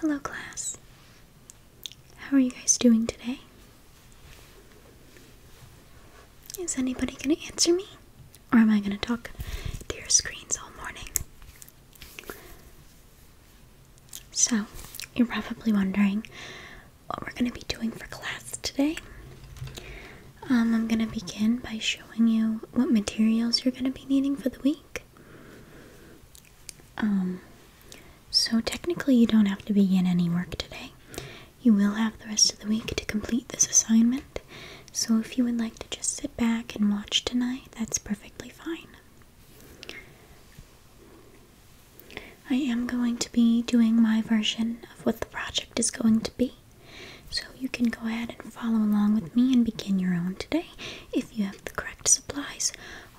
Hello, class. How are you guys doing today? Is anybody going to answer me? Or am I going to talk to your screens all morning? So, you're probably wondering what we're going to be doing for class today. Um, I'm going to begin by showing you what materials you're going to be needing for the week. Um, so technically, you don't have to begin any work today. You will have the rest of the week to complete this assignment. So if you would like to just sit back and watch tonight, that's perfectly fine. I am going to be doing my version of what the project is going to be. So you can go ahead and follow along with me and begin your own today if you have the correct supplies.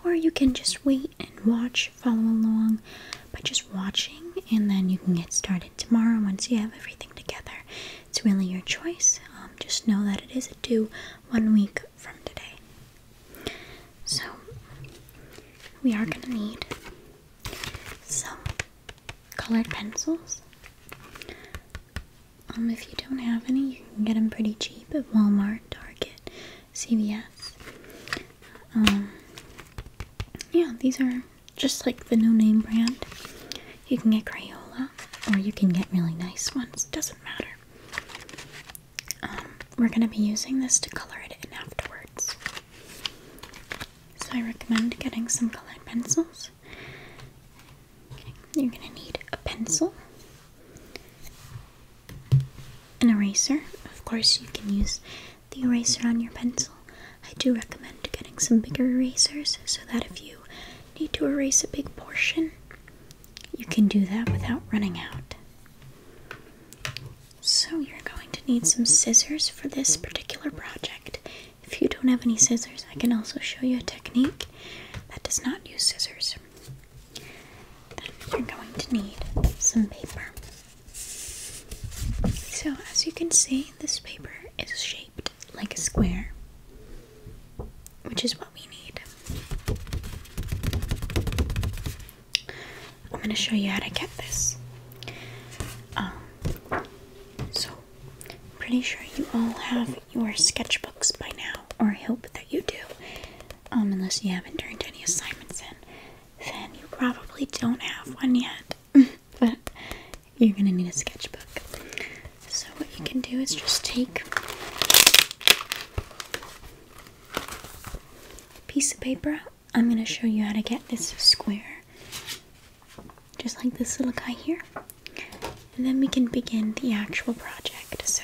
Or you can just wait and watch, follow along by just watching, and then you can get started tomorrow once you have everything together. It's really your choice. Um, just know that it is due one week from today. So, we are going to need some colored pencils, um, if you don't have any, you can get them pretty cheap at Walmart, Target, CVS. Um, yeah, these are just like the no-name brand. You can get Crayola, or you can get really nice ones. Doesn't matter. Um, we're gonna be using this to color it in afterwards. So I recommend getting some colored pencils. You're going to need a pencil, an eraser. Of course, you can use the eraser on your pencil. I do recommend getting some bigger erasers so that if you need to erase a big portion, you can do that without running out. So, you're going to need some scissors for this particular project. If you don't have any scissors, I can also show you a technique that does not use scissors. you're going to need some paper. So, as you can see, this paper is shaped like a square, which is what we need. I'm going to show you how to get this. Um, so, pretty sure you all have your sketchbooks by now, or I hope that you do. Um, unless you haven't turned any assignments in, then you probably don't have one yet. but you're gonna need a sketchbook. So, what you can do is just take a piece of paper. I'm gonna show you how to get this square, just like this little guy here and then we can begin the actual project. So,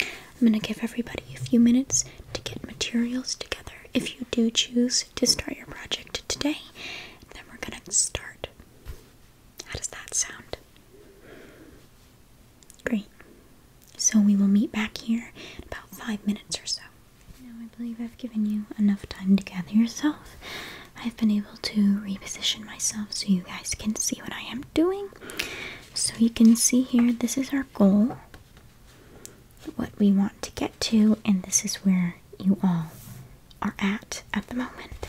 I'm going to give everybody a few minutes to get materials together if you do choose to start your project today. then we're going to start. How does that sound? Great. So, we will meet back here in about five minutes or so. Now, I believe I've given you enough time to gather yourself. I've been able to reposition myself so you guys can see what I am doing. So you can see here, this is our goal, what we want to get to, and this is where you all are at at the moment.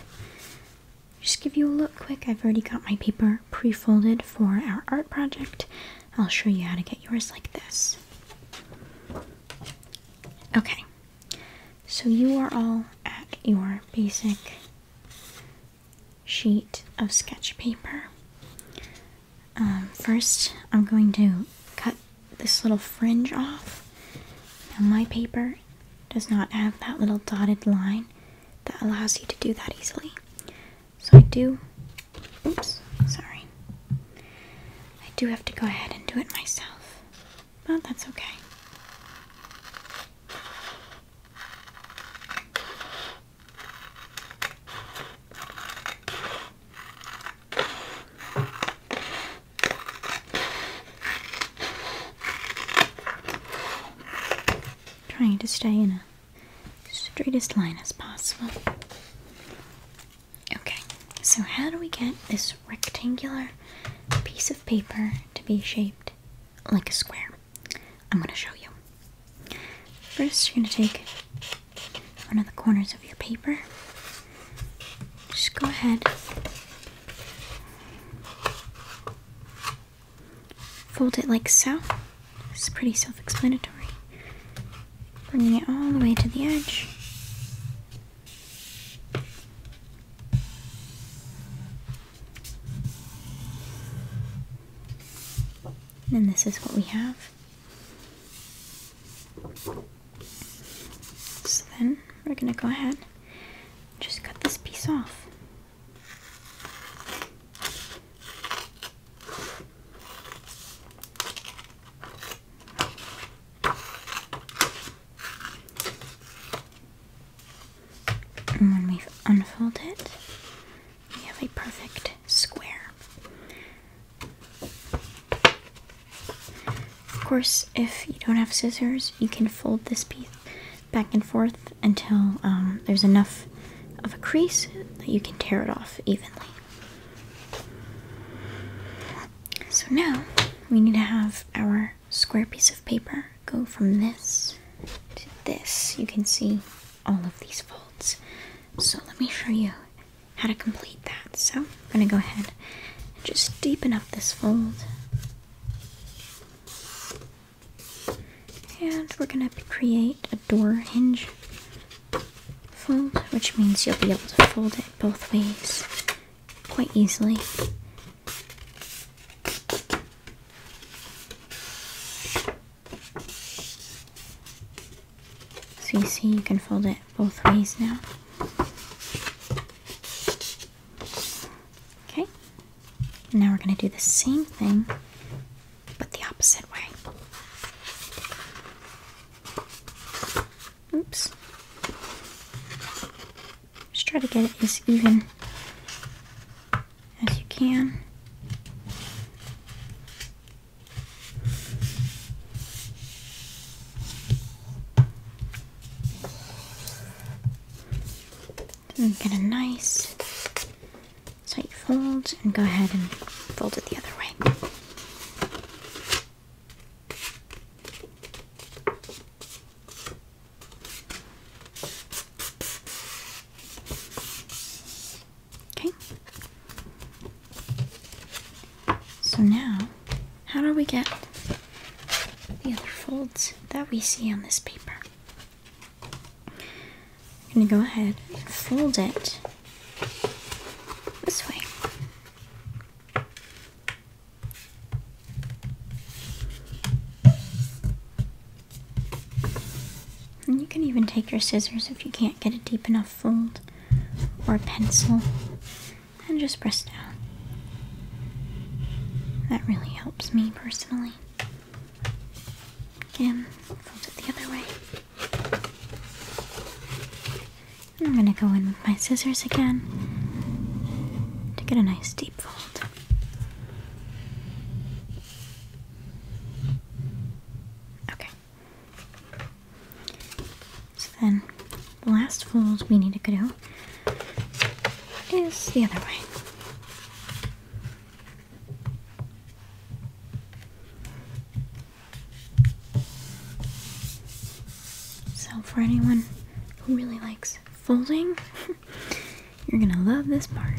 Just give you a look quick. I've already got my paper pre-folded for our art project. I'll show you how to get yours like this. Okay, so you are all at your basic sheet of sketch paper. Um, first, I'm going to cut this little fringe off. Now, my paper does not have that little dotted line that allows you to do that easily. So I do, oops, sorry. I do have to go ahead and do it myself. But that's okay. Trying to stay in a straightest line as possible. Okay, so how do we get this rectangular piece of paper to be shaped like a square. I'm going to show you. First, you're going to take one of the corners of your paper. Just go ahead, fold it like so. It's pretty self explanatory. Bringing it all the way to the edge. And this is what we have. So then we're going to go ahead just cut this piece off. And when we've unfolded it, we have a perfect square. Of course, if you don't have scissors, you can fold this piece back and forth until um, there's enough of a crease that you can tear it off evenly. So now we need to have our square piece of paper go from this to this, you can see all of these folds. So let me show you how to complete that. So I'm going to go ahead and just deepen up this fold. And we're going to create a door hinge fold, which means you'll be able to fold it both ways quite easily. So you see you can fold it both ways now. Okay, now we're going to do the same thing but the opposite way. Oops. Just try to get it as even as you can. get a nice tight fold and go ahead and fold it the other way. Okay. So now, how do we get the other folds that we see on this paper? I'm going to go ahead and fold it this way. And you can even take your scissors if you can't get a deep enough fold or a pencil and just press down. That really helps me personally. Again, fold it the other way. I'm going to go in with my scissors again to get a nice deep fold. Okay. So then the last fold we need to do is the other way. So for anyone who really likes folding You're gonna love this part.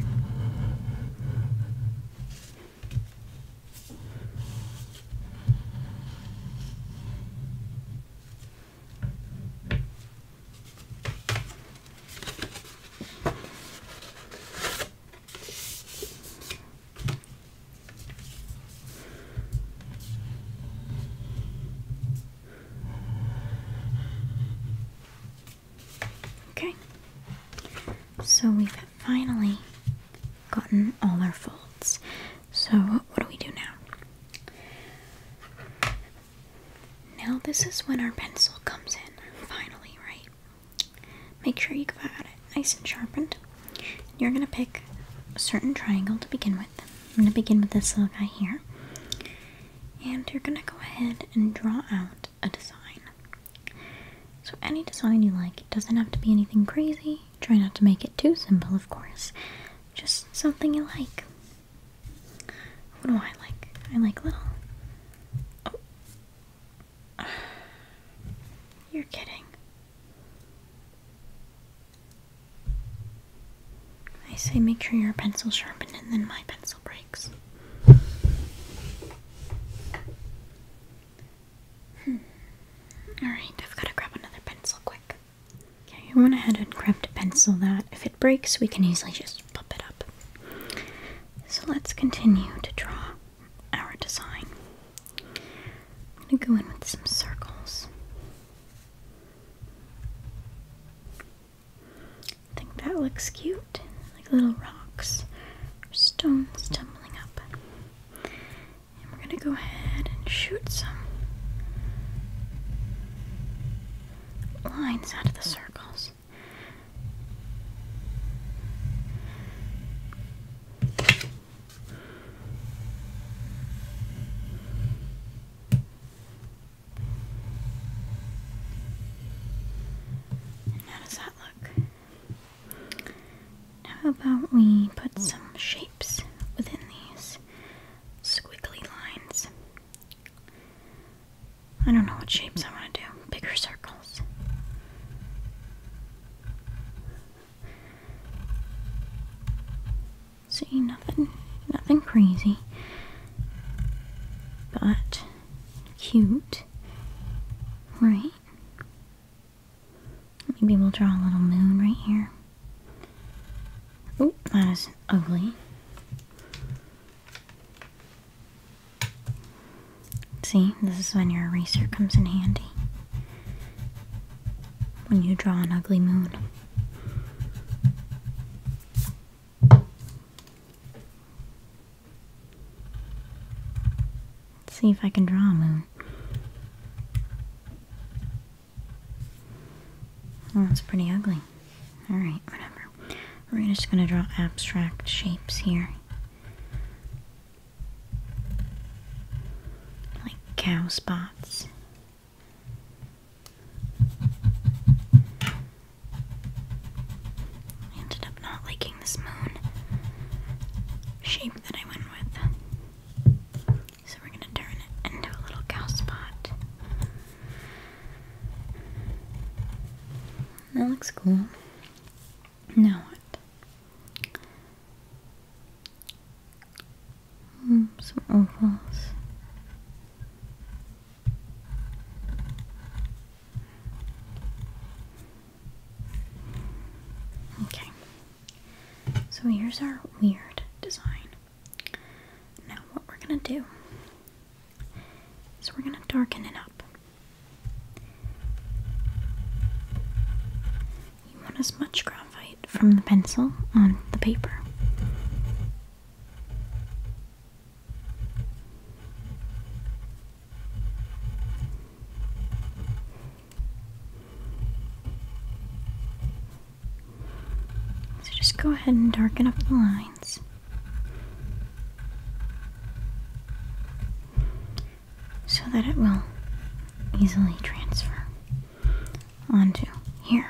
Okay, so we've finally gotten all our folds. So, what do we do now? Now, this is when our pencil comes in, finally, right? Make sure you've got it nice and sharpened. You're going to pick a certain triangle to begin with. I'm going to begin with this little guy here and you're gonna go ahead and draw out a design. So any design you like, doesn't have to be anything crazy. Try not to make it too simple, of course. Just something you like. What do I like? I like little. Oh. You're kidding. I say make sure your pencil's sharpened and then my pencil breaks. Hmm. Alright, I've got to grab another pencil quick. Okay, I went ahead and grabbed a pencil that if it breaks, we can easily just pop it up. So let's continue to draw our design. I'm going to go in with some circles. I think that looks cute. Like little rocks or stones tumbling up. And we're gonna go ahead and shoot some lines out of the circles. How does that look? how about we put some shapes within these squiggly lines? I don't know what shapes I want to do. Bigger circles. See, nothing crazy but cute right maybe we'll draw a little moon right here oh that is ugly see this is when your eraser comes in handy when you draw an ugly moon Let's see if I can draw a moon. Oh, that's pretty ugly. Alright, whatever. We're just going to draw abstract shapes here. Like cow spots. I ended up not liking this moon shape that I went with. So we're gonna turn it into a little cow spot. That looks cool. Now what? Mm, some ovals. Okay, so here's our weird design. Now, what we're gonna do is we're gonna darken it up. You want as much graphite from the pencil on the paper so just go ahead and darken up the lines. So that it will easily transfer onto here.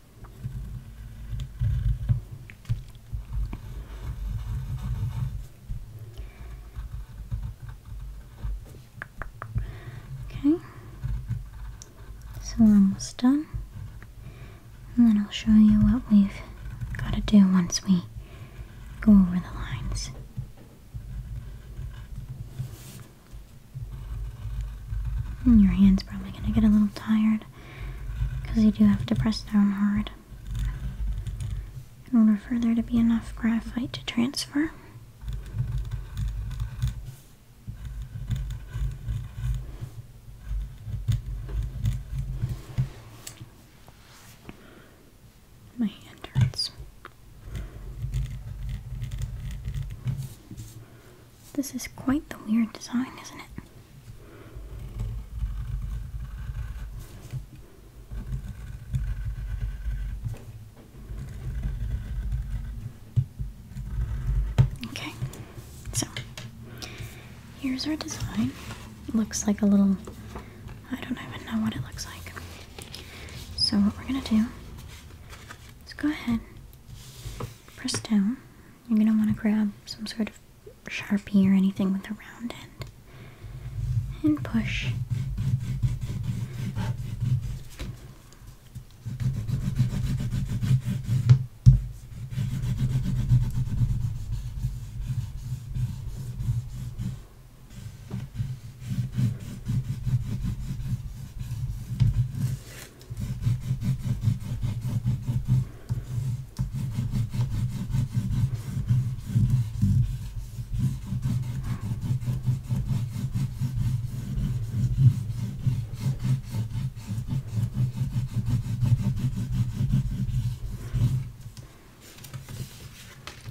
Okay, so we're almost done, and then I'll show you what we've got to do once we go over the lines. Hmm, your hand's probably going to get a little tired because you do have to press down hard in order for there to be enough graphite to transfer. My hand hurts. This is quite the weird design, isn't it? Okay, so here's our design. looks like a little, I don't even know what it looks like. So, what we're gonna do Let's go ahead Press down, you're going to want to grab some sort of sharpie or anything with a round end and push.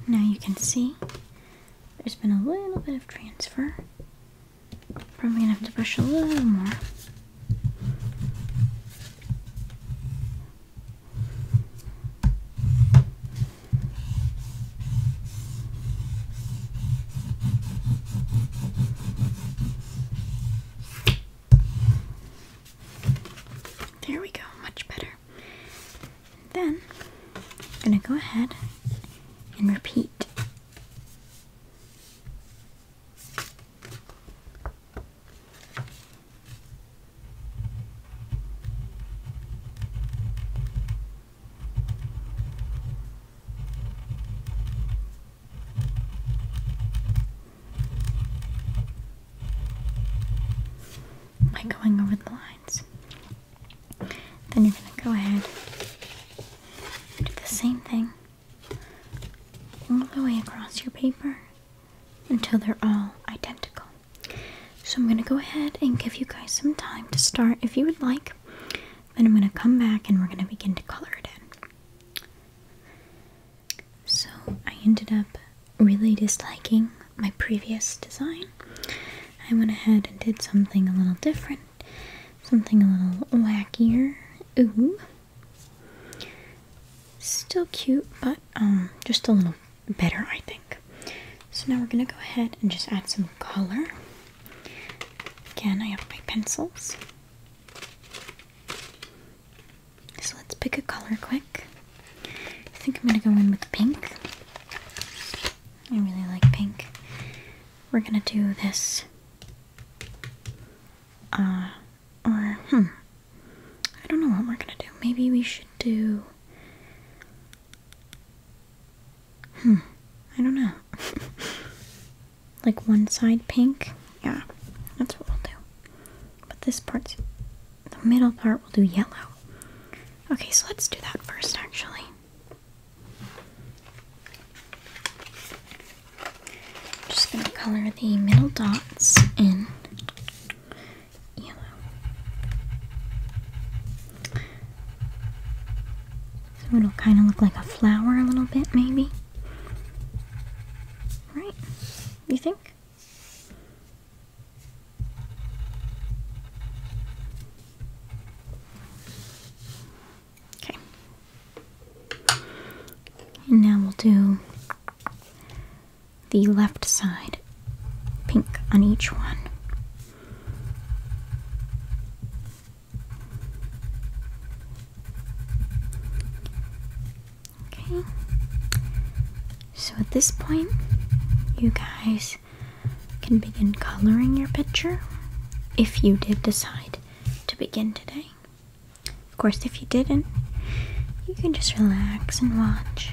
Now you can see there's been a little bit of transfer Probably gonna have to brush a little more. There we go, much better. Then I'm gonna go ahead and repeat by going over the lines. Then you're going to go ahead do the same thing all the way across your paper until they're all identical. So I'm going to go ahead and give you guys some time to start if you would like. Then I'm going to come back and we're going to begin to color it in. So I ended up really disliking my previous design. I went ahead and did something a little different Something a little wackier. Ooh. Still cute, but um, just a little better, I think. So now we're going to go ahead and just add some color. Again, I have my pencils. So let's pick a color quick. I think I'm going to go in with pink. I really like pink. We're going to do this uh, or, hmm. I don't know what we're gonna do. Maybe we should do. Hmm. I don't know. like one side pink? Yeah, that's what we'll do. But this part's. The middle part we'll do yellow. Okay, so let's do that first, actually. I'm just going to color the middle dots in yellow. So it'll kind of look like a flower a little bit, maybe. Right? You think? Okay. And now we'll do the left side, pink on each one. Okay. So at this point, you guys can begin coloring your picture if you did decide to begin today. Of course, if you didn't, you can just relax and watch.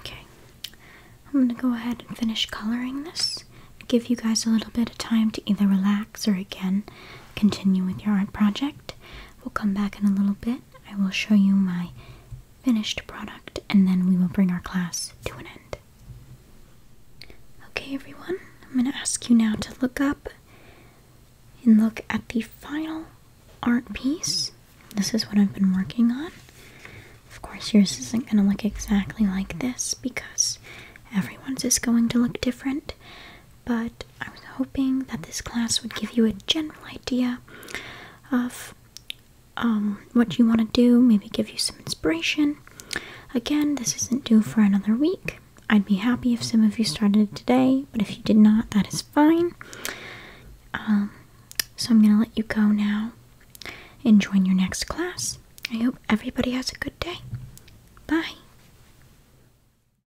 Okay, I'm going to go ahead and finish coloring this. Give you guys a little bit of time to either relax or again continue with your art project. We'll come back in a little bit. I will show you my finished product and then we will bring our class to an end. Okay, everyone, I'm going to ask you now to look up and look at the final art piece. This is what I've been working on. Of course, yours isn't going to look exactly like this because everyone's is going to look different, but I was hoping that this class would give you a general idea of um, what you want to do, maybe give you some inspiration. Again, this isn't due for another week. I'd be happy if some of you started today, but if you did not, that is fine. Um, so I'm going to let you go now and join your next class. I hope everybody has a good day. Bye.